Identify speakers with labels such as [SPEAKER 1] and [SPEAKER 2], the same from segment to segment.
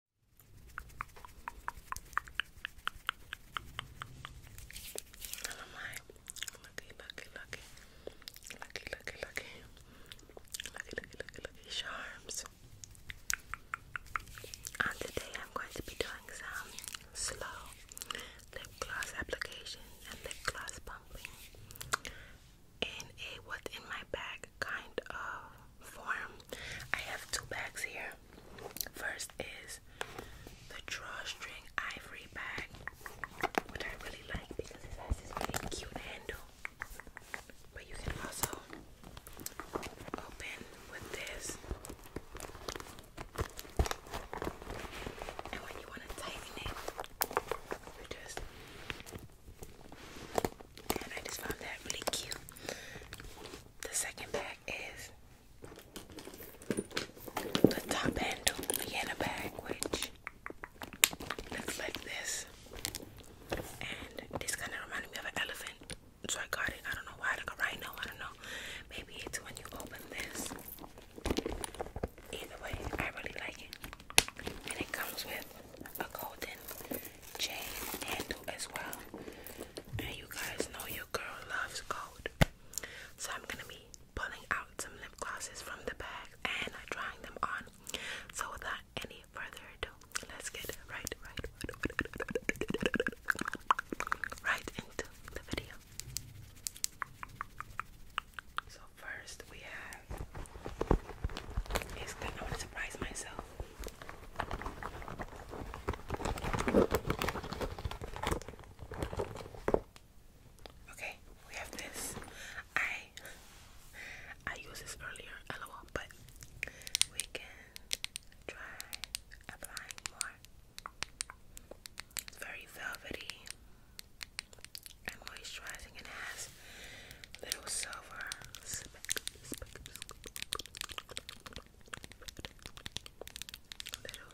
[SPEAKER 1] lucky, lucky, lucky, lucky, lucky, lucky, lucky, charms. And today I'm going to be doing some slow lip gloss application and lip gloss pumping And a what's in my bag kind of form. I have two bags here. First is the drawstring ivory bag, which I really like because it has this really cute handle. But you can also open with this. And when you want to tighten it, you just I just found that really cute. The second bag is the top handle Vienna bag, which looks like this. And this kind of reminded me of an elephant. So I got it. I don't know why, like a rhino. I don't know. Maybe it's when you open this. Either way, I really like it. And it comes with a golden chain handle as well. And you guys know your girl loves gold. So I'm gonna be pulling out some lip glosses from the bag and trying them on. So without any further ado, let's get right, right, right into the video. So first we have, it's good, I want to surprise myself. Okay, we have this. I I used this earlier, lol, but we can try applying more. It's very velvety and moisturizing and has little silver speck, little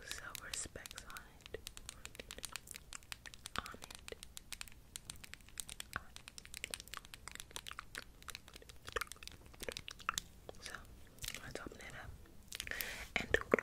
[SPEAKER 1] silver specks on it. On it. So let's open it up. And so okay.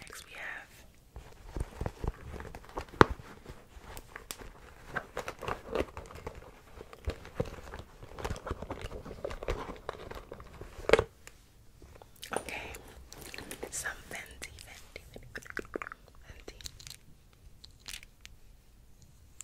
[SPEAKER 1] Next we have Okay, some Fenty, Fenty, Fenty,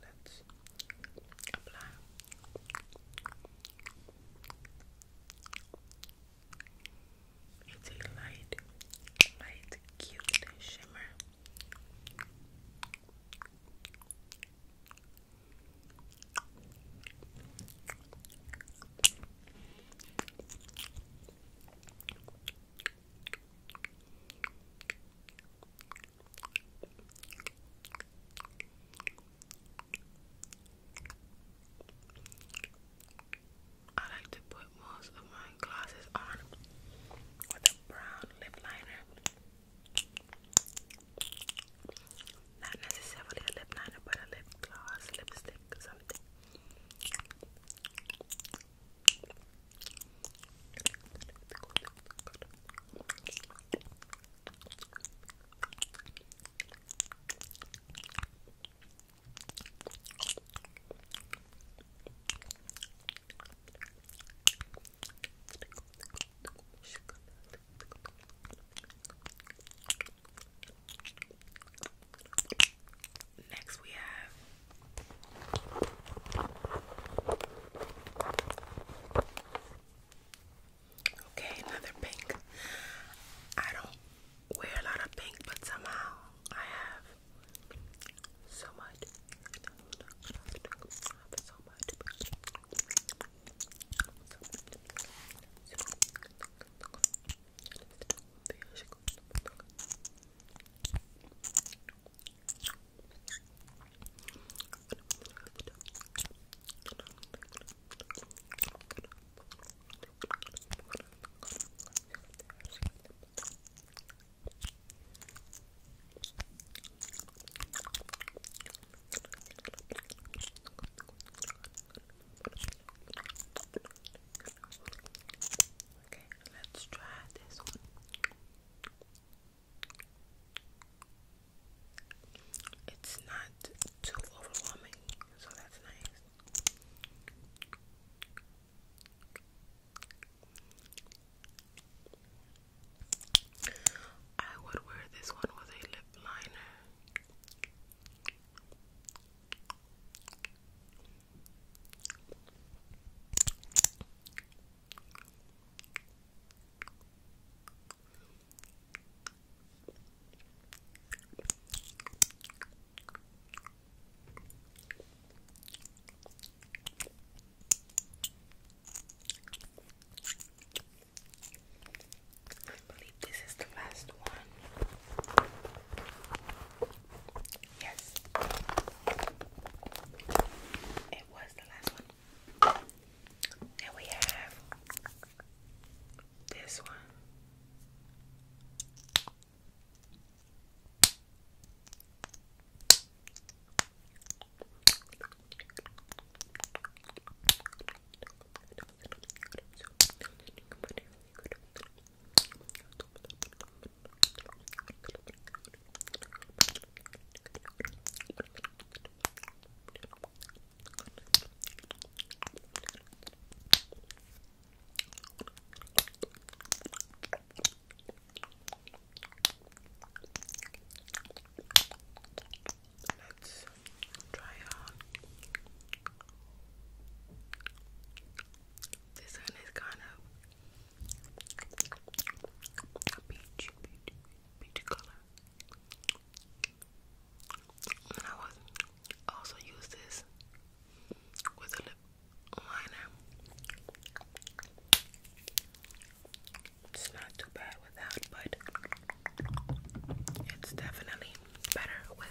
[SPEAKER 1] let's apply. It's a light, light, cute shimmer. I like to put most of my glasses on with a brown lip liner. Not necessarily a lip liner, but a lip gloss, lipstick, something. Next, we have Okay, another pink. I don't wear a lot of pink, but somehow I have so much. so much. Okay, let's try this one. It's not too overwhelming, so that's nice. I would wear this one with a lip liner. I believe this is the last one. Yes. It was the last one. And we have this one. Let's try on. This one is kind of Peach, peach, peach color. I also use this with a lip liner. It's not too bad without, but it's definitely better with.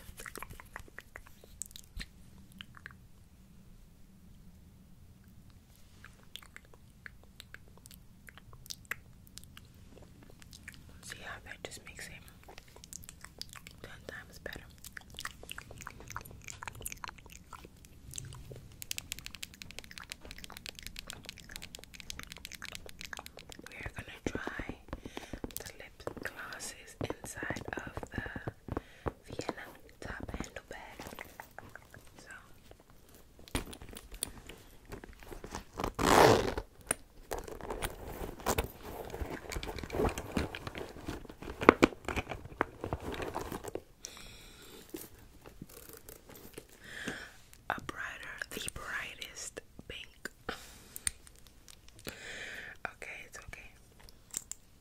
[SPEAKER 1] See how that just makes it ten times better. We are gonna try the lip glosses inside of the Vienna top end little bit. A brighter, the brightest pink. okay, it's okay.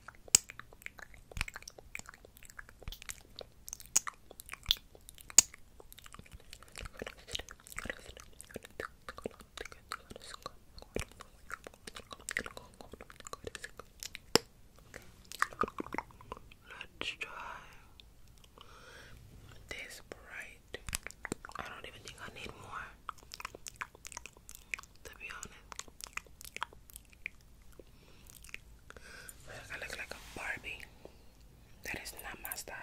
[SPEAKER 1] Let's this bright. I don't even think I need more. To be honest. I look like a Barbie. That is not my style.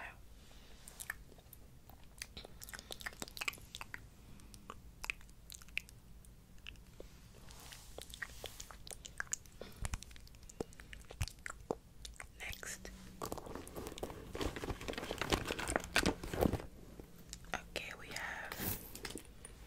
[SPEAKER 1] Next. Okay, we have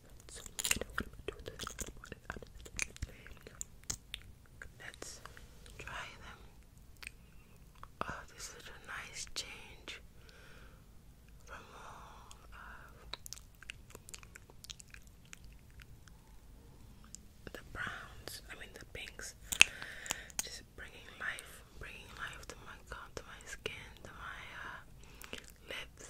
[SPEAKER 1] i Let's try them. Oh, this is a nice change from all uh, the browns. I mean the pinks. Just bringing life, bringing life to my to my skin, to my uh, lips.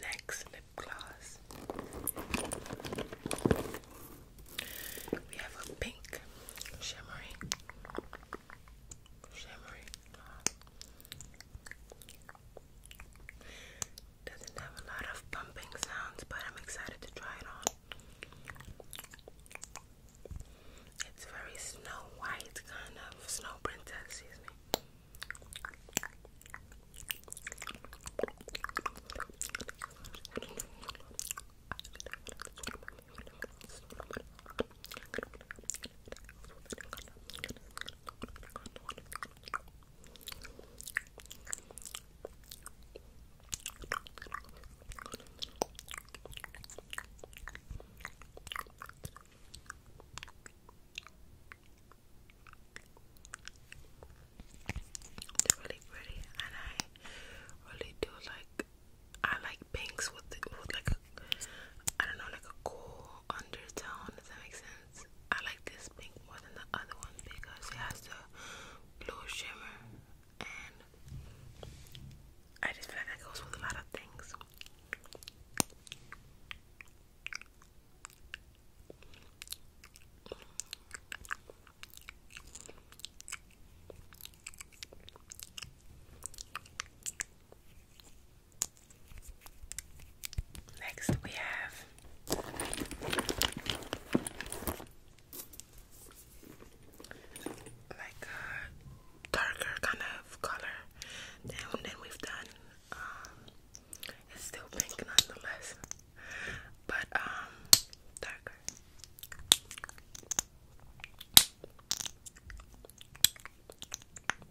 [SPEAKER 1] next lip gloss, we have a pink shimmering, shimmering doesn't have a lot of pumping sounds, but I'm excited to try it on. It's very snow white, kind of snow princess, excuse me. They're really pretty, and I really do like. I like pinks with with like a, I don't know, like a cool undertone. Does that make sense? I like this pink more than the other one because it has the blue shimmer, and I just feel like that goes with a lot of things. Next, we have like a darker kind of color than, than we've done. Um, it's still pink nonetheless, but um, darker.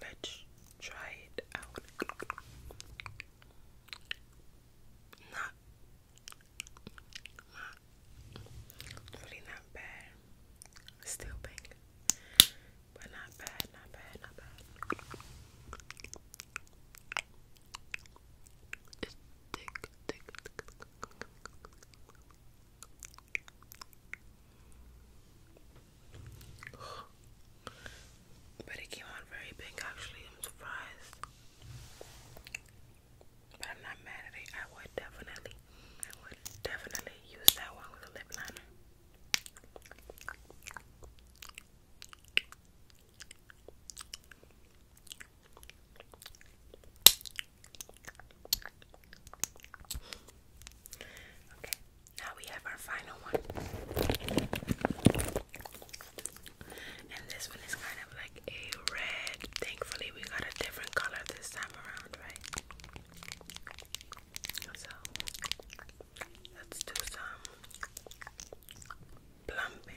[SPEAKER 1] let's try it out. Not, really not bad. Still pink, but not bad, not bad, not bad. It's thick, thick, thick, thick, thick, thick, but it came on very big actually, I'm surprised. But I'm not mad at it. I would definitely I would definitely use that one with a lip liner. Okay, now we have our final one. And this one is kind of like a red. Thankfully, we got a different color this time around, right? So, let's do some plumping.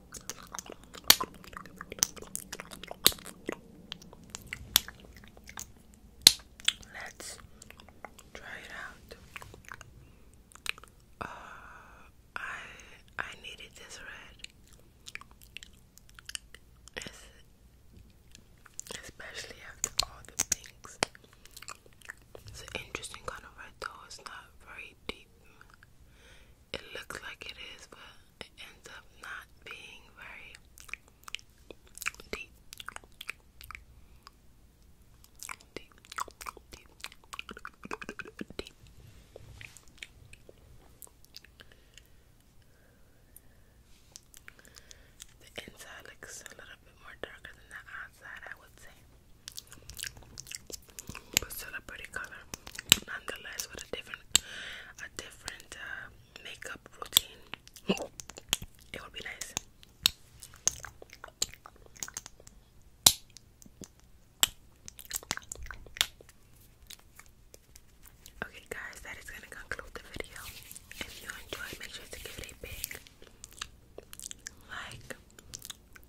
[SPEAKER 1] Let's try it out. Uh, I I needed this red, especially after all the pinks. It's an interesting kind of red, though. It's not very deep it looks like it is, but it ends up not being very deep. Deep, deep, deep. The inside looks a little bit more darker than the outside, I would say. But still color, nonetheless, with a different, a different uh, makeup routine. It would be nice. Okay, guys, that is gonna conclude the video. If you enjoyed, make sure to give it a big like